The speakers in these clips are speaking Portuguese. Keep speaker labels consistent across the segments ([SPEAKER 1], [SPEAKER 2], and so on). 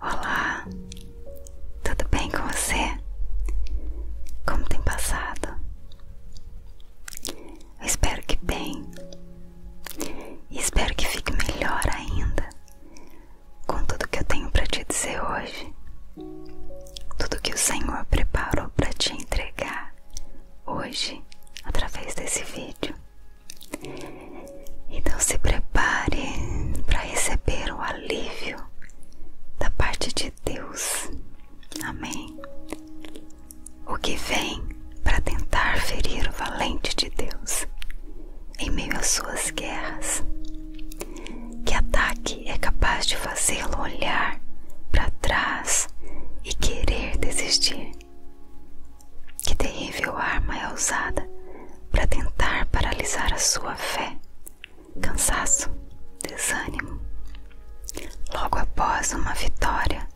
[SPEAKER 1] Olá, tudo bem com você? Como tem passado? Eu espero que bem e espero que fique melhor ainda com tudo que eu tenho para te dizer hoje, tudo que o Senhor preparou para te entregar hoje através desse vídeo. Então se prepare para receber o alívio da parte de Deus. Amém. O que vem para tentar ferir o valente de Deus em meio às suas guerras. Que ataque é capaz de fazê-lo olhar para trás e querer desistir? Que terrível arma é usada para tentar paralisar a sua fé? Cansaço, desânimo. Logo após uma vitória,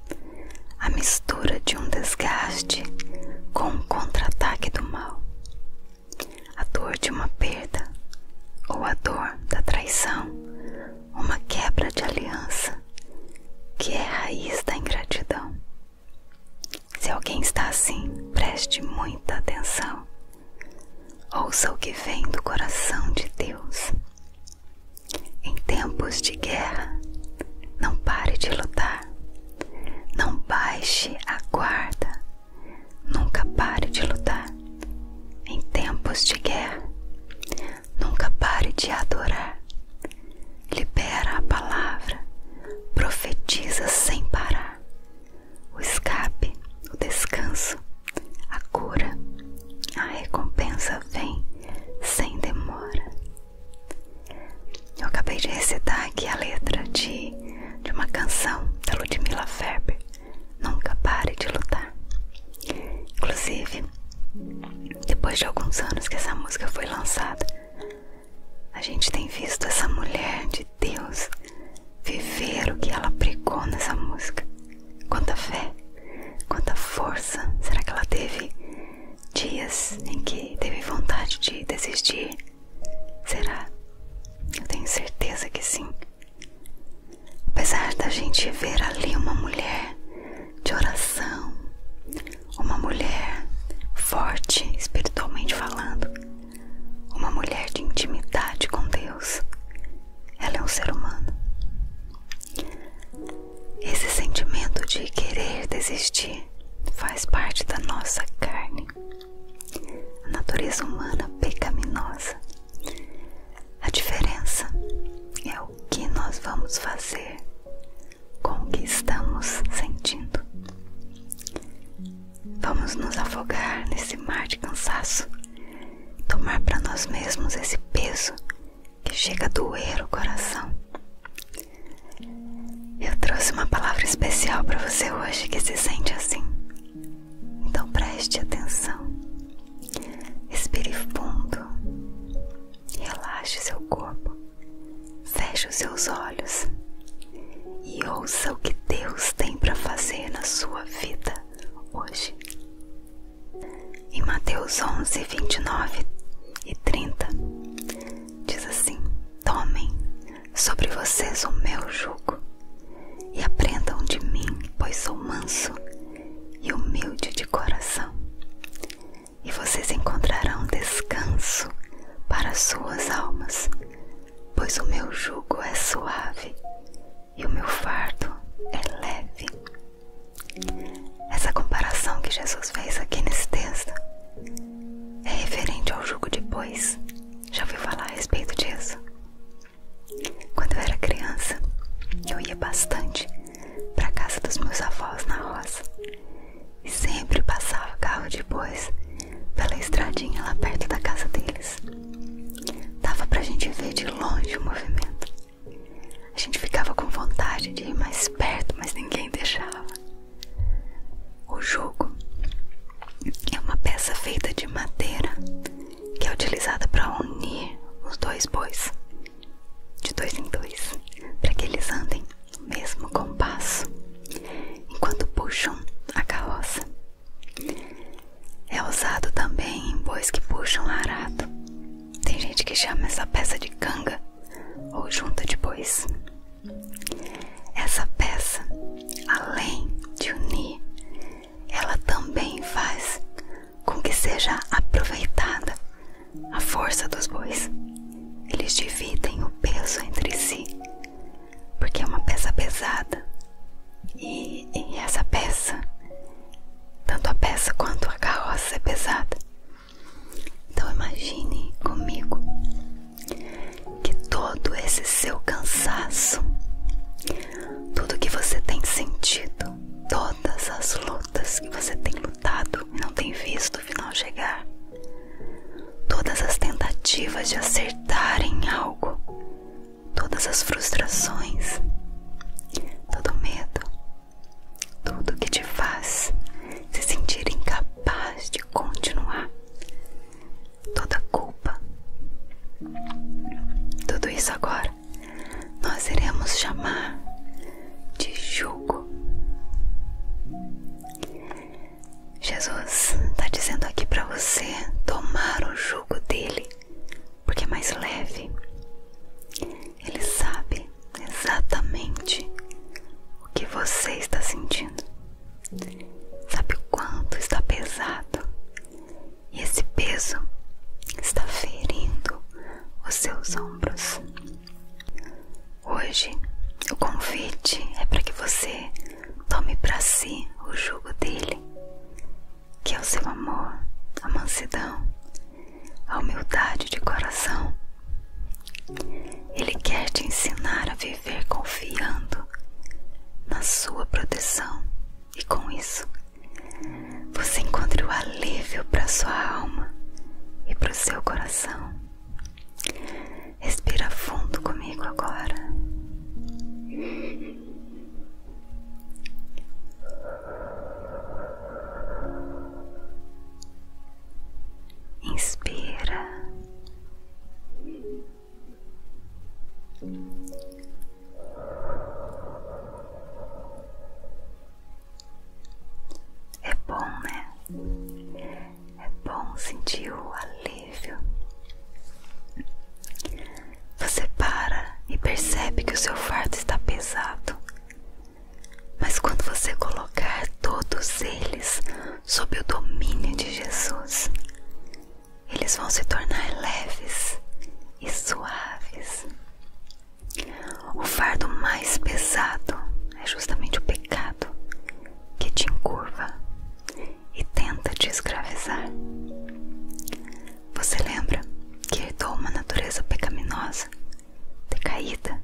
[SPEAKER 1] a mistura de um desgaste com um contra-ataque do mal, a dor de uma perda ou a dor da traição, uma quebra de aliança, que é a raiz da ingratidão. Se alguém está assim, preste muita atenção. Ouça o que vem do coração de Deus. Em tempos de guerra, não pare de lutar. Não baixe a guarda. Nunca pare de lutar. Em tempos de guerra, nunca pare de adorar. Libera a palavra, profetiza sem parar. O escape, o descanso, a cura, a recompensa vem sem demora. Eu acabei de recitar aqui a letra de, de uma canção da Ludmilla Ferber, Nunca Pare de Lutar. Inclusive, depois de alguns anos que essa música foi lançada, a gente tem visto essa mulher de Deus viver o que ela pregou nessa música. Quanta fé, quanta força. Será que ela teve dias em que teve vontade de desistir? Será? Eu tenho certeza que sim. Apesar da gente ver ali uma mulher de oração, uma mulher forte espiritualmente falando, uma mulher de intimidade com Deus. Ela é um ser humano. Esse sentimento de querer desistir faz parte da nossa carne, a natureza humana pecaminosa. A diferença é o que nós vamos fazer com o que estamos sentindo. Vamos nos afogar nesse mar de cansaço, tomar para nós mesmos esse peso que chega a doer o coração. Eu trouxe uma palavra especial para você hoje que se sente assim. Então preste atenção. expire fundo. Relaxe seu corpo. Feche os seus olhos e ouça o que Deus tem para fazer na sua vida hoje. Em Mateus 11, 29 e 30, diz assim: Tomem sobre vocês o meu jugo e aprendam de mim, pois sou manso e humilde de coração, e vocês encontrarão descanso para suas almas, pois o meu jugo é suave e o meu fardo é leve. Essa comparação que Jesus fez aqui nesse texto é referente ao jugo de bois. Já ouviu falar a respeito disso? Quando eu era criança, eu ia bastante para a casa dos meus avós na roça e sempre passava carro de bois pela estradinha lá perto da casa deles. Dava pra gente ver de longe o movimento. A gente ficava com vontade de ir mais perto, mas ninguém deixava. O jogo é uma peça feita de madeira que é utilizada para unir os dois bois de dois em dois, para que eles andem no mesmo compasso enquanto puxam a carroça. É usado também em bois que puxam arado. Tem gente que chama essa peça de canga ou junta de bois. Essa peça, além de unir, ela também faz com que seja aproveitada a força dos bois. Eles dividem o peso entre si, porque é uma peça pesada. E, essa peça, tanto a peça quanto a carroça é pesada. Então imagine comigo que todo esse seu cansaço, tudo que você tem sentido, todas as lutas que você tem lutado, e não tem visto o final chegar. Todas as tentativas de acertar em algo, todas as frustrações, todo medo, tudo que te faz se sentir incapaz de continuar, toda culpa, tudo isso agora nós iremos chamar de jugo. Jesus está dizendo aqui para você tomar o jugo dele, porque é mais leve. Ele sabe exatamente o que você está sentindo, sabe o quanto está pesado, e esse peso está ferindo os seus ombros. Hoje, o convite é para que você tome para si o jugo dele, que é o seu amor, a mansidão, a humildade de coração. Ele quer te ensinar a viver confiando na sua proteção e com isso você encontra o alívio para sua alma e para o seu coração. Respira fundo comigo agora. Inspira. É bom, né? É bom sentir o alívio. Você para e percebe que o seu fardo está pesado. Mas quando você colocar todos eles sob o domínio de Jesus, eles vão se tornar leves e suaves. O fardo mais pesado é justamente o pecado que te encurva e tenta te escravizar. Você lembra que herdou uma natureza pecaminosa, decaída,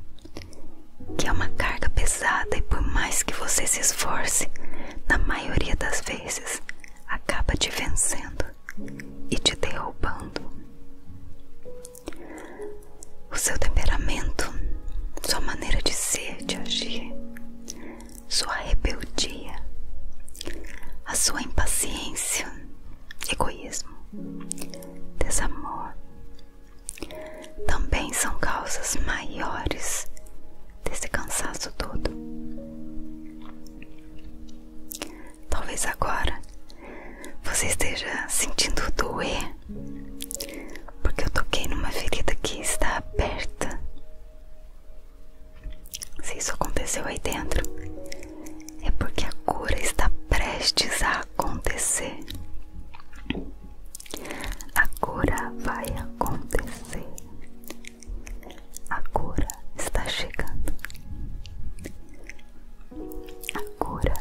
[SPEAKER 1] que é uma carga pesada e por mais que você se esforce, na maioria das vezes acaba te vencendo e te derrubando o seu temperamento, sua maneira de ser, de agir, sua rebeldia, a sua impaciência, egoísmo, desamor, também são causas maiores desse cansaço todo. Talvez agora você esteja sentindo doer porque eu toquei numa ferida que está aberta. Se isso aconteceu aí dentro, é porque a cura está prestes a acontecer. A cura vai acontecer. A cura está chegando. A cura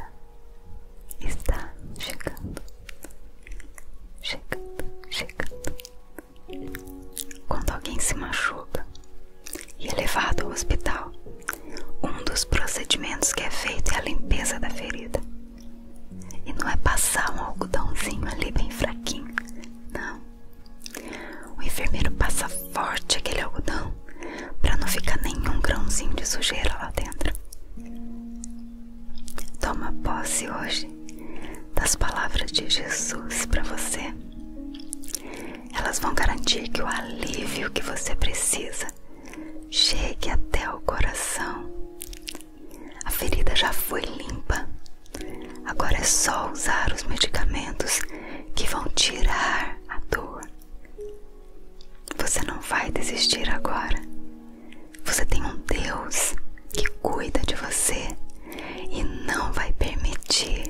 [SPEAKER 1] está chegando, chegando, chegando. Quando alguém se machuca e é levado ao hospital, um dos procedimentos que é feito é a limpeza da ferida. E não é passar um algodãozinho ali bem fraquinho, não. O enfermeiro passa forte aquele algodão para não ficar nenhum grãozinho de sujeira lá dentro. Toma posse hoje das palavras de Jesus para você. Elas vão garantir que o alívio que você precisa chegue até o coração. A ferida já foi limpa. Agora é só usar os medicamentos que vão tirar a dor. Você não vai desistir agora. Você tem um Deus que cuida de você e não vai permitir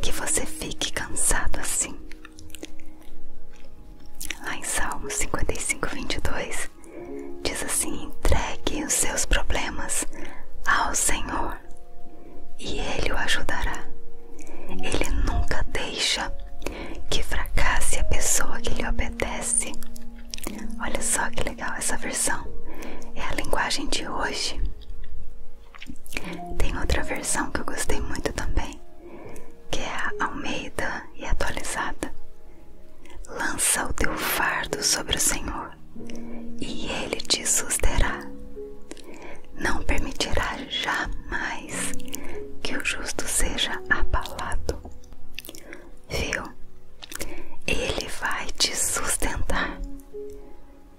[SPEAKER 1] que você fique cansado assim. Lá em Salmo 55, 22, diz assim: entregue os seus problemas ao Senhor e Ele o ajudará. Ele nunca deixa que fracasse a pessoa que lhe obedece. Olha só que legal essa versão. É a linguagem de hoje. Tem outra versão que eu gostei muito também, que é Almeida e atualizada. Lança o teu fardo sobre o Senhor, e Ele te susterá. Não permitirá jamais que o justo seja abalado. Viu? Ele vai te sustentar.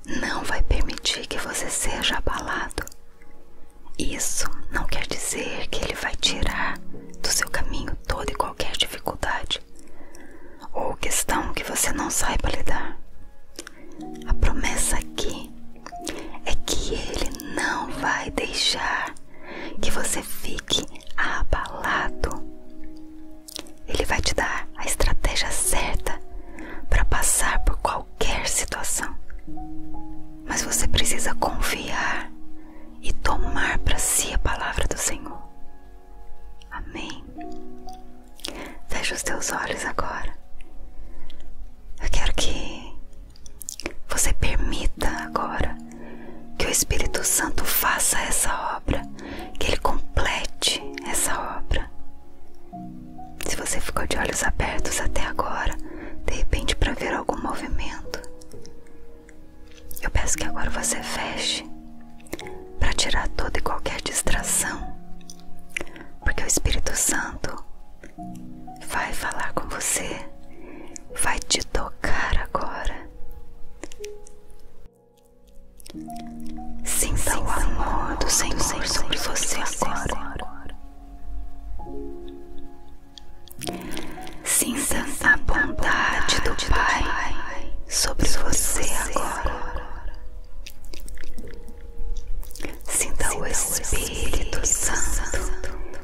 [SPEAKER 1] Não vai permitir que você seja abalado. Isso não quer dizer que ele vai tirar do seu caminho toda e qualquer dificuldade ou questão que você não saiba lidar. A promessa aqui é que Ele não vai deixar que você fique abalado. Ele vai te dar a estratégia certa para passar por qualquer situação. Mas você precisa confiar e tomar para si a palavra do Senhor. Amém. Feche os teus olhos agora. Eu quero que você permita agora que o Espírito Santo faça essa obra, que ele complete essa obra. Se você ficou de olhos abertos até agora, de repente para ver algum movimento, eu peço que agora você feche para tirar toda e qualquer distração, porque o Espírito Santo vai falar com você, vai te tocar agora. Sinta, o amor do Senhor, do sobre você agora. Sinta, a bondade do, Pai, sobre, você, agora. Sinta, o Espírito, Santo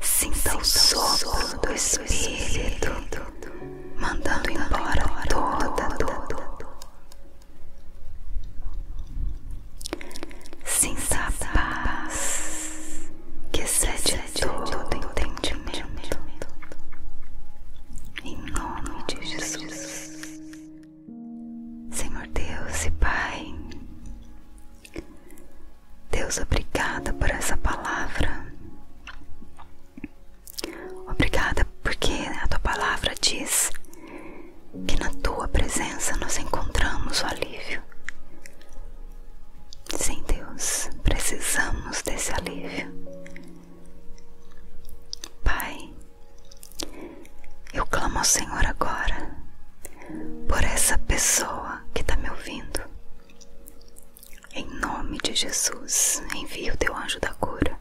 [SPEAKER 1] Sinta o sopro do Espírito mandando embora todo, toda dor. Sinta a paz que excede todo entendimento. Em nome de Jesus. Senhor Deus e Pai, Deus, obrigada por essa palavra. Obrigada porque a tua palavra diz que na tua presença nós encontramos o alívio. Sim, Deus, precisamos desse alívio. Pai, eu clamo ao Senhor agora por essa pessoa que está me ouvindo. Em nome de Jesus, envia o teu anjo da cura.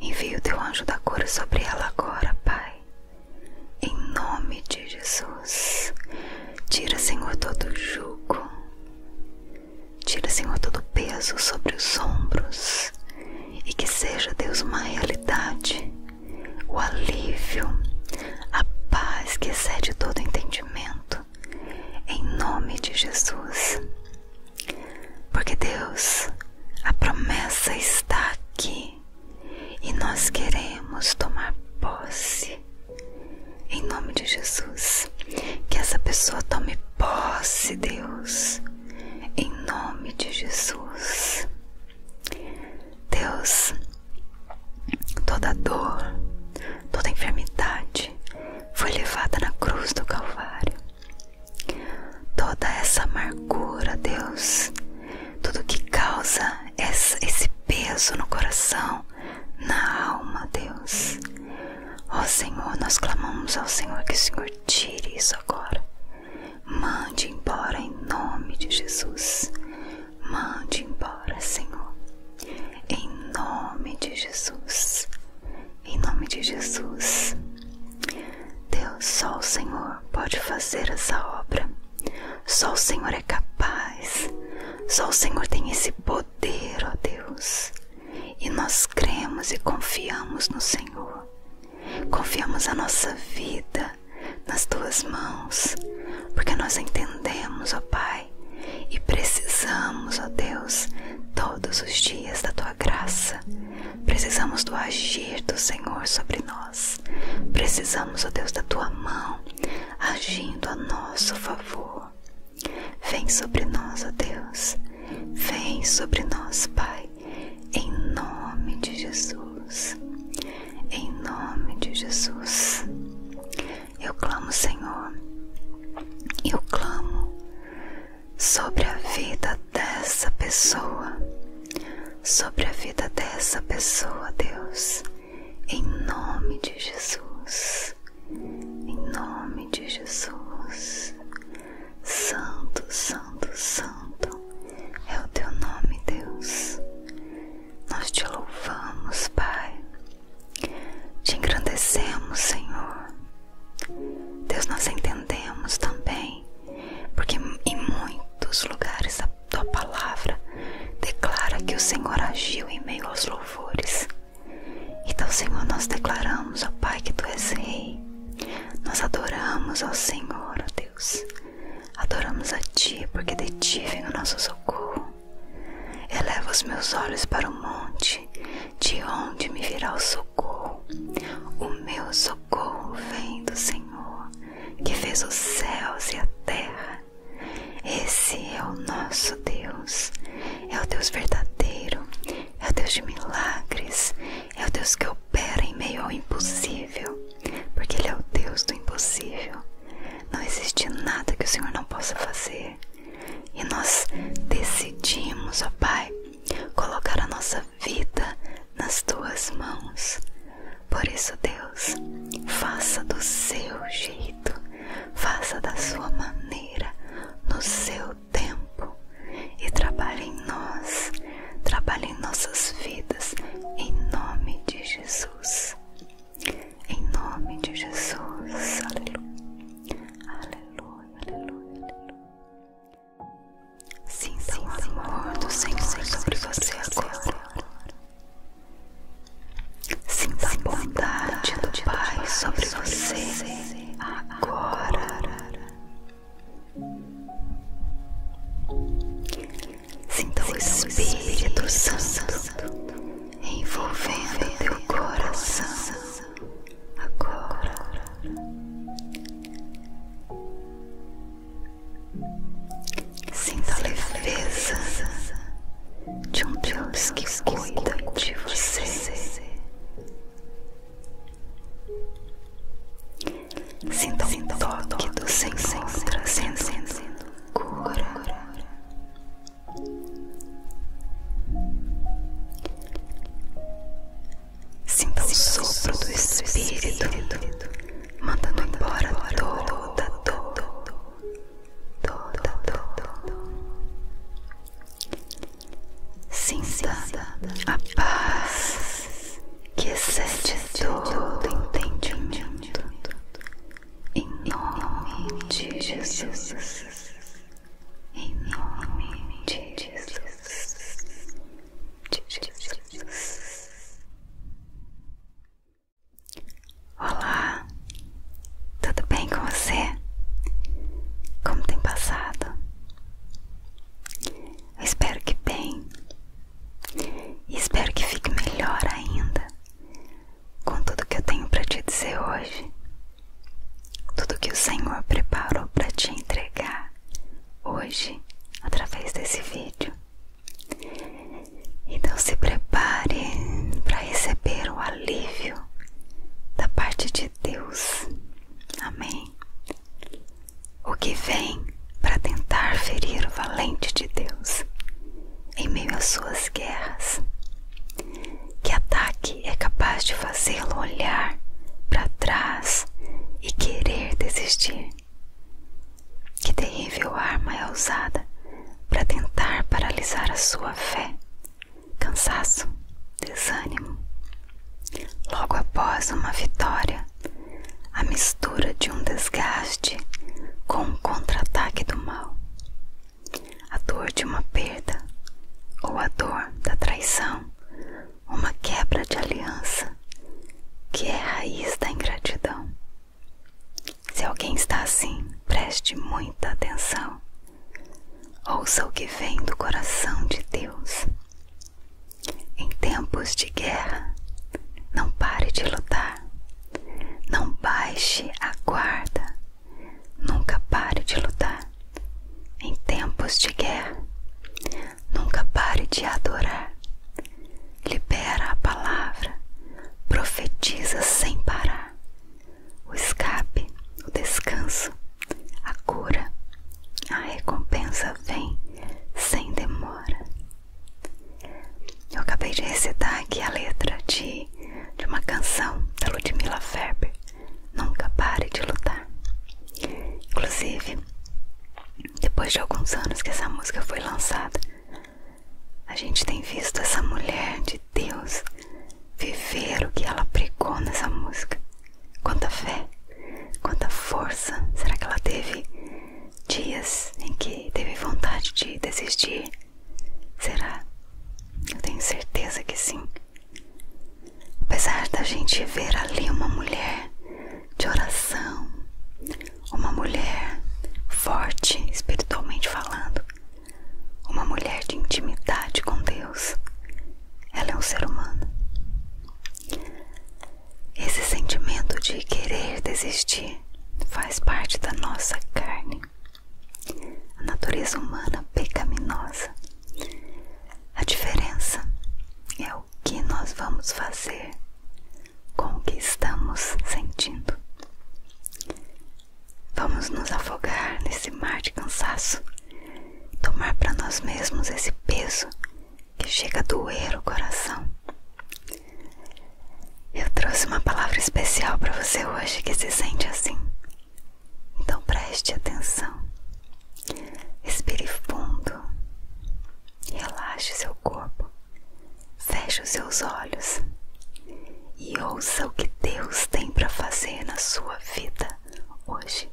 [SPEAKER 1] Envia o teu anjo da cura sobre ela agora, Pai. Em nome de Jesus. Tira, Senhor, todo o jugo. Tira, Senhor, todo o peso sobre os ombros. E que seja, Deus, uma realidade. O alívio, a paz que excede todo entendimento em nome de Jesus. Porque Deus, a promessa está aqui e nós queremos tomar posse. Em nome de Jesus, que essa pessoa tome posse, Deus. Em nome de Jesus. Deus, Toda dor, toda enfermidade foi levada na cruz do Calvário. Toda essa amargura, Deus, tudo que causa esse peso no coração, na alma, Deus. Ó Senhor, nós clamamos ao Senhor que o Senhor tire isso agora. Mande embora em nome de Jesus. Mande embora, Senhor, em nome de Jesus. Em nome de Jesus. Deus, só o Senhor pode fazer essa obra. Só o Senhor é capaz. Só o Senhor tem esse poder, ó Deus. E nós cremos e confiamos no Senhor. Confiamos a nossa vida nas tuas mãos, porque nós entendemos, ó Pai e precisamos, ó Deus, todos os dias da tua graça. Precisamos do agir do Senhor sobre nós. Precisamos, ó Deus, da tua mão agindo a nosso favor. Vem sobre nós, ó Deus. Vem sobre nós, Pai, em nome de Jesus. Em nome de Jesus. Eu clamo, Senhor, eu clamo sobre a vida dessa pessoa, sobre a vida dessa pessoa, Deus, em nome de Jesus, em nome de Jesus. Santo, Santo, Santo é o teu nome, Deus. Nós te louvamos, Pai. Te engrandecemos, Senhor. Deus, nós entendemos também, porque em muitos lugares a tua palavra declara que o Senhor agiu em meio aos louvores. Então, Senhor, nós declaramos, ó Pai, que tu és Rei. Nós adoramos ao Senhor, ó Deus. Adoramos a Ti, porque de Ti vem o nosso socorro. Eleva os meus olhos para o monte, de onde me virá o socorro. O meu socorro vem do Senhor, que fez os céus e a terra. Esse é o nosso Deus, é o Deus verdadeiro, é o Deus de milagres, é o Deus que opera em meio ao impossível, porque Ele é o Deus do impossível. Não existe nada que o Senhor não possa fazer. E nós decidimos, ó Pai, colocar a nossa vida nas tuas mãos. Por isso, Deus, faça do seu jeito, faça da sua maneira, no seu tempo e trabalhe em nós, trabalhe em nossas vidas, em nome de Jesus. Em nome de Jesus. Aleluia. Aleluia, aleluia, aleluia. Sim, sim, sim, amor do Senhor sobre você agora. Sinta a bondade do Pai sobre você agora. Sinta o Espírito Santo envolvendo teu coração agora. Sinta a leveza de um Deus que cuida de você. Sinta o toque do Senhor trazendo cura. Sinta o sopro do Espírito mandando embora toda, toda, toda, toda. Sinta a paz que excede todo entendimento em nome de Jesus. Em nome de Jesus. De Jesus. Olá, tudo bem com você? Como tem passado? Eu espero que bem. espero que fique melhor ainda com tudo que eu tenho para te dizer hoje, tudo que o Senhor preparou para te entregar hoje através desse vídeo. Então se prepare para receber o alívio da parte de Deus. Amém. O que vem para tentar ferir o valente de Deus em meio às suas guerras. Que ataque é capaz de fazê-lo olhar para trás e querer desistir? Que terrível arma é usada para tentar paralisar a sua fé, cansaço, desânimo? Logo após uma vitória, a mistura de um desgaste com um contra-ataque do mal. A dor de uma perda ou a dor da traição, uma quebra de aliança, que é a raiz da ingratidão. Se alguém está assim, preste muita atenção. Ouça o que vem do coração de Deus. Em tempos de guerra, não pare de lutar, não baixe a guarda, nunca pare de lutar. Em tempos de guerra, nunca pare de adorar. Libera a palavra, profetiza sem parar. O escape, o descanso, a cura, a recompensa vem sem demora. Eu acabei de recitar aqui a letra de, de uma canção da Ludmilla Ferber, Nunca Pare de Lutar. Inclusive, depois de alguns anos que essa música foi lançada, a gente tem visto essa mulher de Deus viver o que ela pregou nessa música. Quanta fé, quanta força. Será que ela teve dias em que teve vontade de desistir? Será? Eu tenho certeza que sim. Apesar da gente ver ali uma mulher de oração, uma mulher forte espiritualmente falando, uma mulher de intimidade com Deus, ela é um ser humano. Esse sentimento de querer desistir faz parte da nossa carne. A natureza humana pecaminosa. A diferença é o que nós vamos fazer com o que estamos sentindo. Vamos nos afogar nesse mar de cansaço, tomar para nós mesmos esse peso que chega a doer o coração eu trouxe uma palavra especial para você hoje que se sente assim. Então preste atenção. Respire fundo. Relaxe seu corpo. Feche os seus olhos. E ouça o que Deus tem para fazer na sua vida hoje.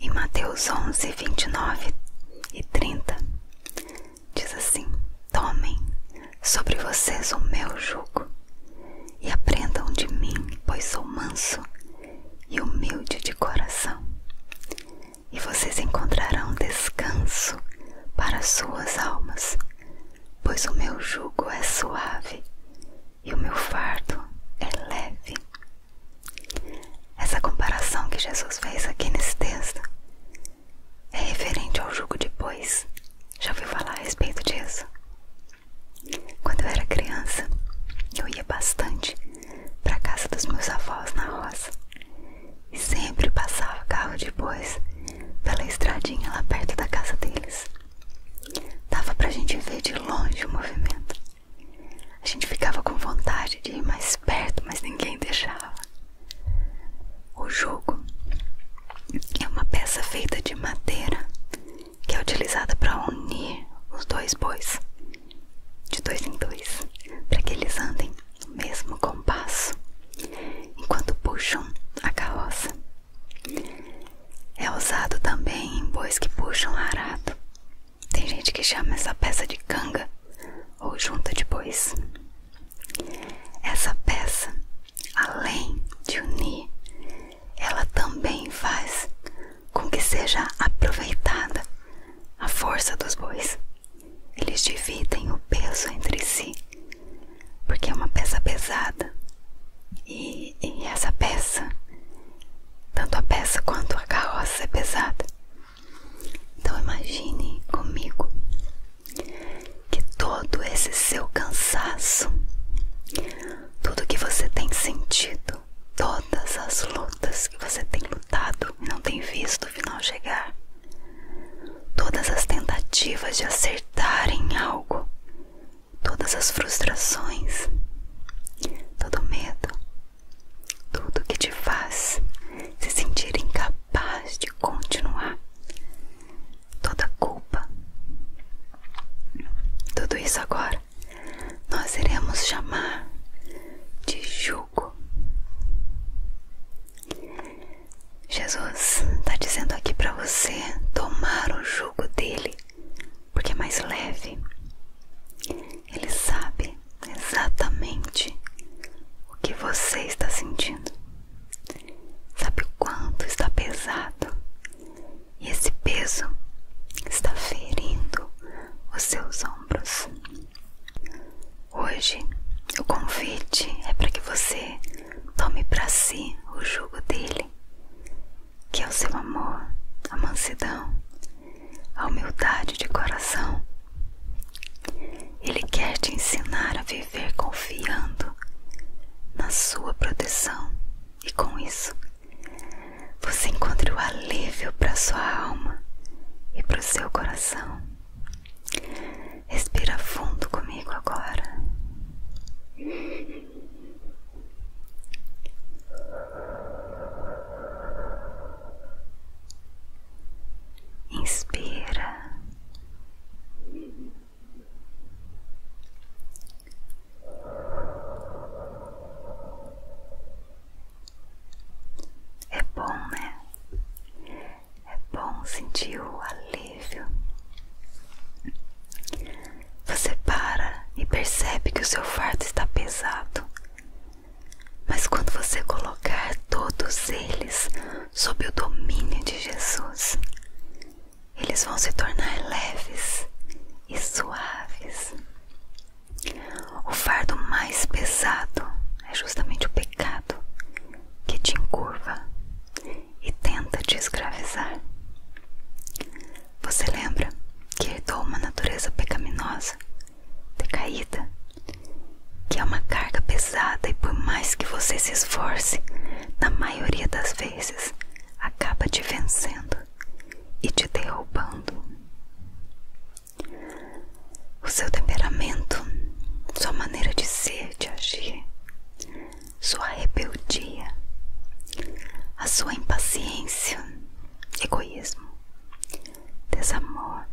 [SPEAKER 1] Em Mateus 11, 29 e 30, diz assim: Tomem sobre vocês o meu jugo e aprendam de mim, pois sou manso e humilde de coração, e vocês encontrarão descanso para suas almas, pois o meu jugo é suave e o meu fardo é leve. Essa comparação que Jesus fez aqui nesse texto é referente ao jugo de bois. Já ouviu falar a respeito disso? Quando eu era criança, eu ia bastante para a casa dos meus avós na roça e sempre passava carro de bois pela estradinha lá perto da casa deles. Dava a gente ver de longe o movimento. A gente ficava com vontade de ir mais perto, mas ninguém deixava. O jogo é uma peça feita de madeira que é utilizada para unir os dois bois de dois em dois, para que eles andem no mesmo compasso enquanto puxam a carroça. É usado também em bois que puxam arado. Tem gente que chama essa peça de canga ou junta bois. Essa peça, além de unir, ela também faz com que seja aproveitada a força dos bois. Eles dividem o peso entre si, porque é uma peça pesada. E, e essa peça, tanto a peça quanto a carroça é pesada. Então imagine comigo que todo esse seu cansaço, tudo que você tem sentido, todas as lutas que você tem lutado e não tem visto o final chegar, todas as tentativas de acertar em algo, todas as frustrações, todo medo, tudo que te faz se sentir incapaz de continuar. Toda culpa. Tudo isso agora nós iremos chamar de jugo. Jesus está dizendo aqui para você tomar o jugo dele, porque é mais leve. Ele sabe exatamente o que você está sentindo. Sabe o quanto está pesado? E esse peso está ferindo os seus ombros. Hoje, o convite é para que você tome para si o jugo dele, que é o seu amor, a mansidão, a humildade de coração ele quer te ensinar a viver confiando na sua proteção, e com isso você encontra o alívio para sua alma e para o seu coração. Respira fundo comigo agora inspira, é bom, né? É bom sentir o alívio. Você para e percebe que o seu fardo está pesado, mas quando você colocar todos eles sob o domínio de Jesus, eles vão se tornar leves e suaves. O fardo mais pesado é justamente o pecado que te encurva e tenta te escravizar. Você lembra que herdou uma natureza pecaminosa decaída, que é uma carga pesada e por mais que você se esforce, na maioria das vezes acaba te vencendo e te derrubando. O seu temperamento, sua maneira de ser, de agir, sua rebeldia, a sua impaciência, egoísmo, desamor,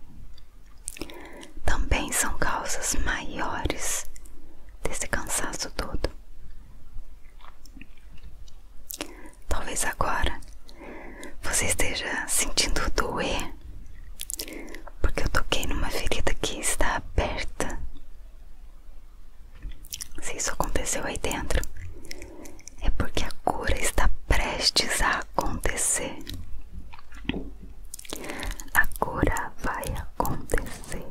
[SPEAKER 1] também são causas maiores desse cansaço todo. Talvez agora você esteja sentindo doer, porque eu toquei numa ferida que está aberta. Se isso aconteceu aí dentro, é porque a cura está prestes a acontecer. A cura vai acontecer.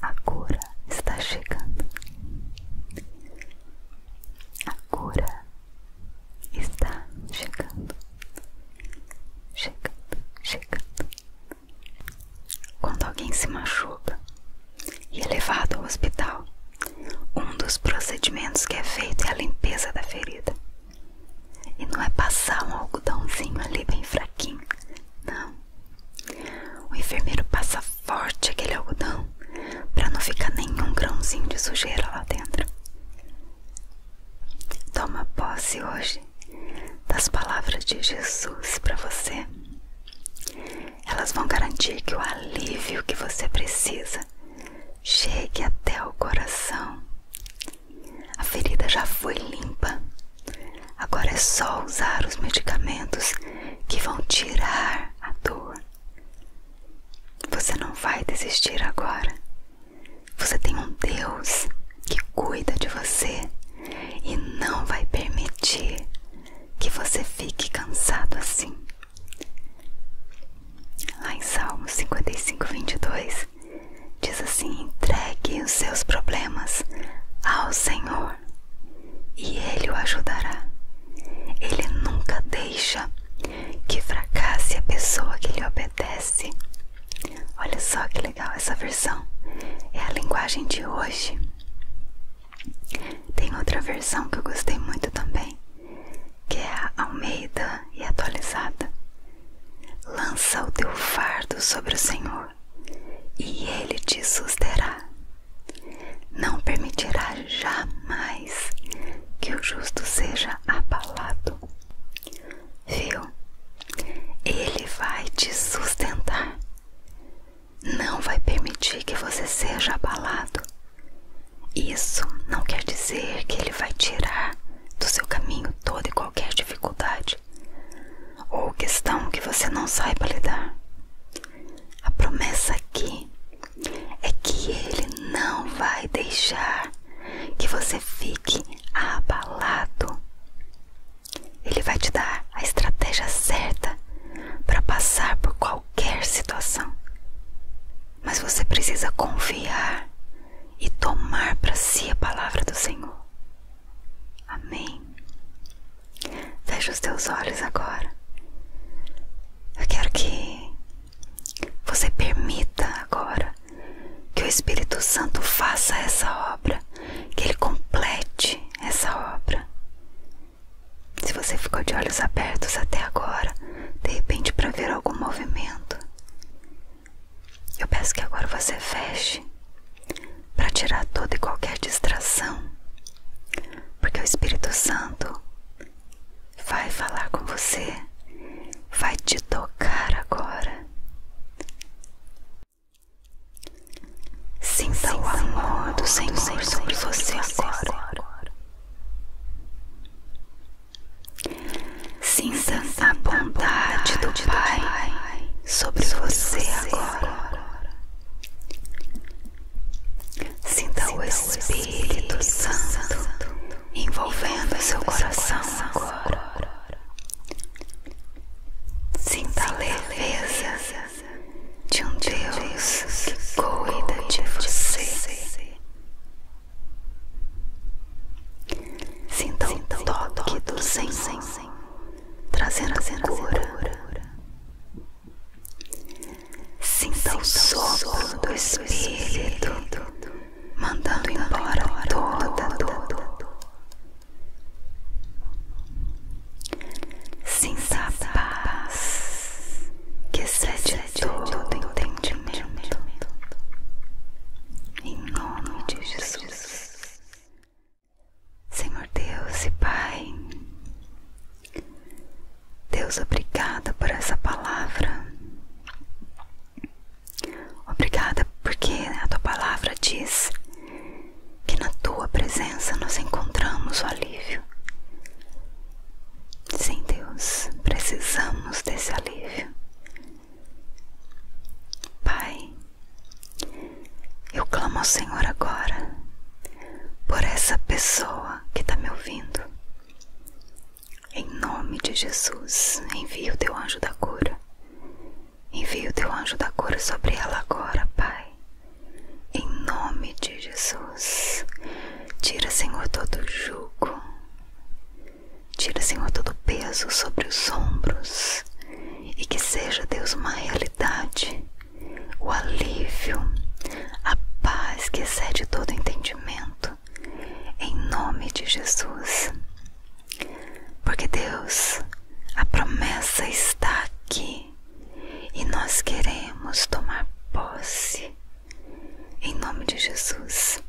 [SPEAKER 1] A cura está chegando. A cura está chegando. Chegando, chegando. Quando alguém se machuca e é levado ao hospital, um dos procedimentos que é feito é a limpeza da ferida. E não é passar um algodãozinho ali bem fraquinho, não. O enfermeiro passa forte aquele algodão para não ficar nenhum grãozinho de sujeira lá dentro. Toma posse hoje das palavras de Jesus para você. Elas vão garantir que o alívio que você precisa chegue até o coração. A ferida já foi limpa. Agora é só usar os medicamentos que vão tirar a dor. Você não vai desistir agora. Você tem um Deus que cuida de você e não vai permitir que você fique cansado assim. Lá em Salmo 55, 22, diz assim: entregue os seus problemas ao Senhor e Ele o ajudará. Ele nunca deixa que fracasse a pessoa que lhe obedece. Olha só que legal essa versão. É a linguagem de hoje. Tem outra versão que eu gostei muito também que é Almeida e atualizada. Lança o teu fardo sobre o Senhor, e Ele te susterá. Não permitirá jamais que o justo seja abalado. Viu? Ele vai te sustentar. Não vai permitir que você seja abalado. Isso não quer dizer que ele vai tirar do seu caminho toda e qualquer dificuldade ou questão que você não saiba lidar. A promessa aqui é que ele não vai deixar que você fique abalado. Ele vai te dar a estratégia certa para passar por qualquer situação. Mas você precisa confiar e tomar para si a palavra do Senhor. Amém. Veja os teus olhos agora. Eu quero que você permita agora que o Espírito Santo faça essa obra, que ele complete essa obra. Se você ficou de olhos abertos até agora, de repente para ver algum movimento. Eu peço que agora você feche para tirar toda e qualquer distração, porque o Espírito Santo vai falar com você, vai te tocar agora. Sinta o amor do Senhor, Senhor sobre você agora. Sinta a bondade do Pai sobre você agora. Sinta o Espírito Santo envolvendo seu coração agora. Sinta a leveza de um Deus que cuida de você. Sintam, o toque do, do Senhor, Senhor trazendo, a cura. cura. Sintam, o sopro do, Espírito, mandando embora toda dor. Sinta a paz que excede todo entendimento. Em nome de Jesus. Senhor Deus e Pai, Deus, obrigada por essa palavra. Obrigada porque a tua palavra diz que na tua presença nós encontramos o alívio. Sim, Deus, precisamos desse alívio. Pai, eu clamo ao Senhor agora por essa pessoa que está me ouvindo. Em nome de Jesus, envia o teu anjo da cura. Envia o teu anjo da cura sobre ela agora, Pai. Em nome de Jesus. Deus. Tira, Senhor, todo jugo. Tira, Senhor, todo peso sobre os ombros. E que seja, Deus, uma realidade, o alívio, a paz que excede todo entendimento. Em nome de Jesus. Porque, Deus, a promessa está aqui e nós queremos tomar posse. Em nome de Jesus,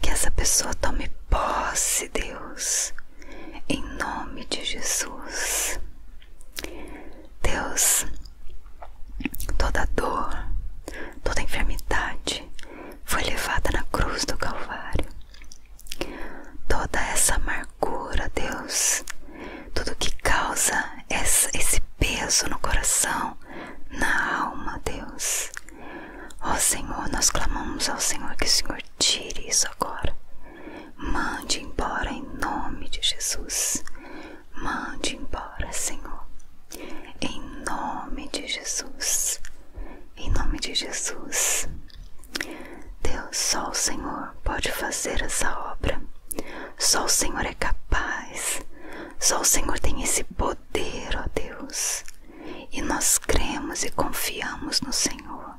[SPEAKER 1] que essa pessoa tome posse, Deus. Em nome de Jesus. Deus, toda dor, toda enfermidade foi levada na cruz do Calvário. Toda essa amargura, Deus, tudo que causa esse peso no coração, na alma, Deus. Ó Senhor, nós clamamos ao Senhor que o Senhor tire isso agora. Mande embora em nome de Jesus. Mande embora, Senhor. Em nome de Jesus. Em nome de Jesus. Deus, só o Senhor pode fazer essa obra. Só o Senhor é capaz. Só o Senhor tem esse poder, ó Deus. E nós cremos e confiamos no Senhor.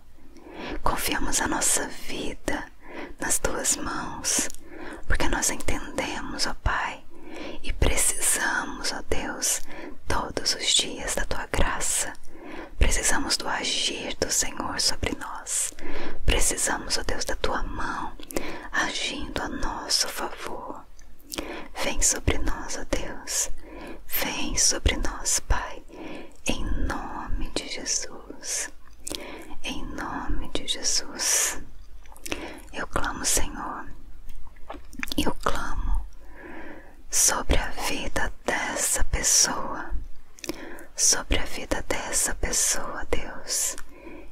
[SPEAKER 1] Confiamos a nossa vida nas tuas mãos, porque nós entendemos, ó Pai, e precisamos, ó Deus, todos os dias da tua graça. Precisamos do agir do Senhor sobre nós. Precisamos, ó Deus, da tua mão agindo a nosso favor favor. Vem sobre nós, ó Deus. Vem sobre nós, Pai, em nome de Jesus. Em nome de Jesus. Eu clamo, Senhor. Eu clamo sobre a vida dessa pessoa. Sobre a vida dessa pessoa, Deus.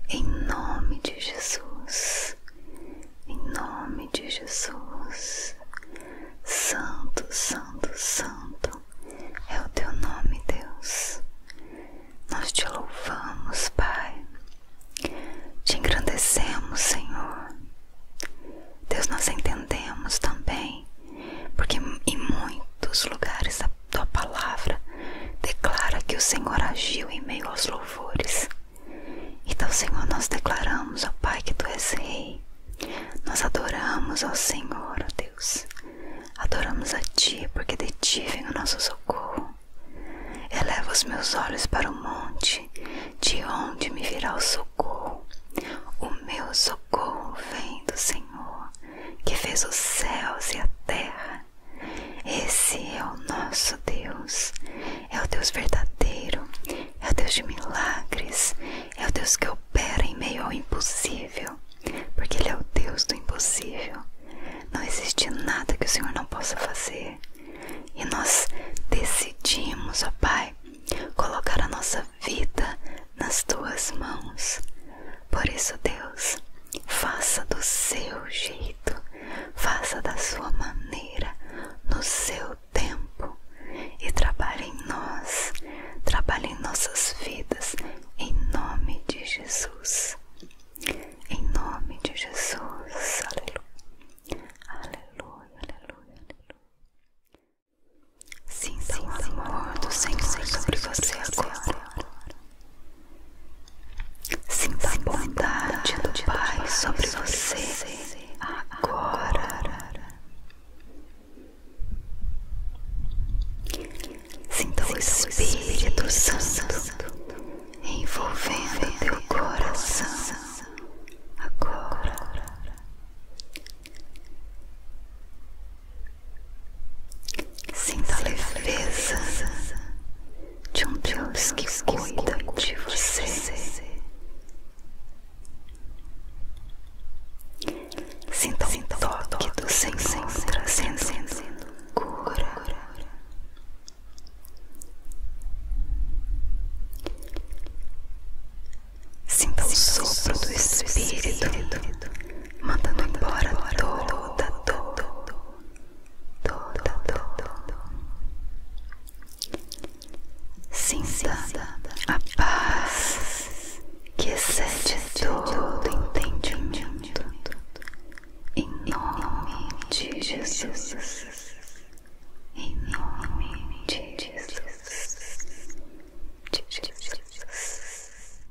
[SPEAKER 1] Em nome de Jesus, em nome de Jesus, Santo, Santo, Santo é o teu nome, Deus. Nós te louvamos, Pai, te engrandecemos, Senhor. Deus, nós entendemos também, porque em muitos lugares da tua palavra declara que o Senhor agiu em meio aos louvores. Então, Senhor, nós declaramos, ó Pai, que tu és Rei. Nós adoramos ao Senhor, ó Deus. Adoramos a Ti, porque de Ti vem o nosso socorro. Eleva os meus olhos para o monte, de onde me virá o socorro. O meu socorro vem do Senhor, que fez os céus e a terra. Esse é o nosso Deus, é o Deus verdadeiro, é o Deus de milagres, é o Deus que opera em meio ao impossível, porque Ele é o Deus do impossível. Não existe nada que o Senhor não possa fazer. E nós decidimos, ó Pai, colocar a nossa vida nas tuas mãos. Por isso, Deus, Faça do seu jeito, faça da sua maneira, no seu tempo e trabalhe em nós, trabalhe em nossas vidas, em nome de Jesus. Em nome de Jesus, aleluia, aleluia, aleluia. aleluia. Sinta o amor do Senhor sobre você agora. Sinta a bondade do Pai sobre você agora. Sinta o Espírito Santo envolvendo teu coração agora. Sinta a leveza de um Deus que cuida de você. Sinta o toque do Senhor trazendo cura. Sinta o sopro do Espírito mandando embora toda dor, toda, toda. Sinta a paz que excede todo entendimento, em nome de Jesus. Em nome de Jesus. De Jesus.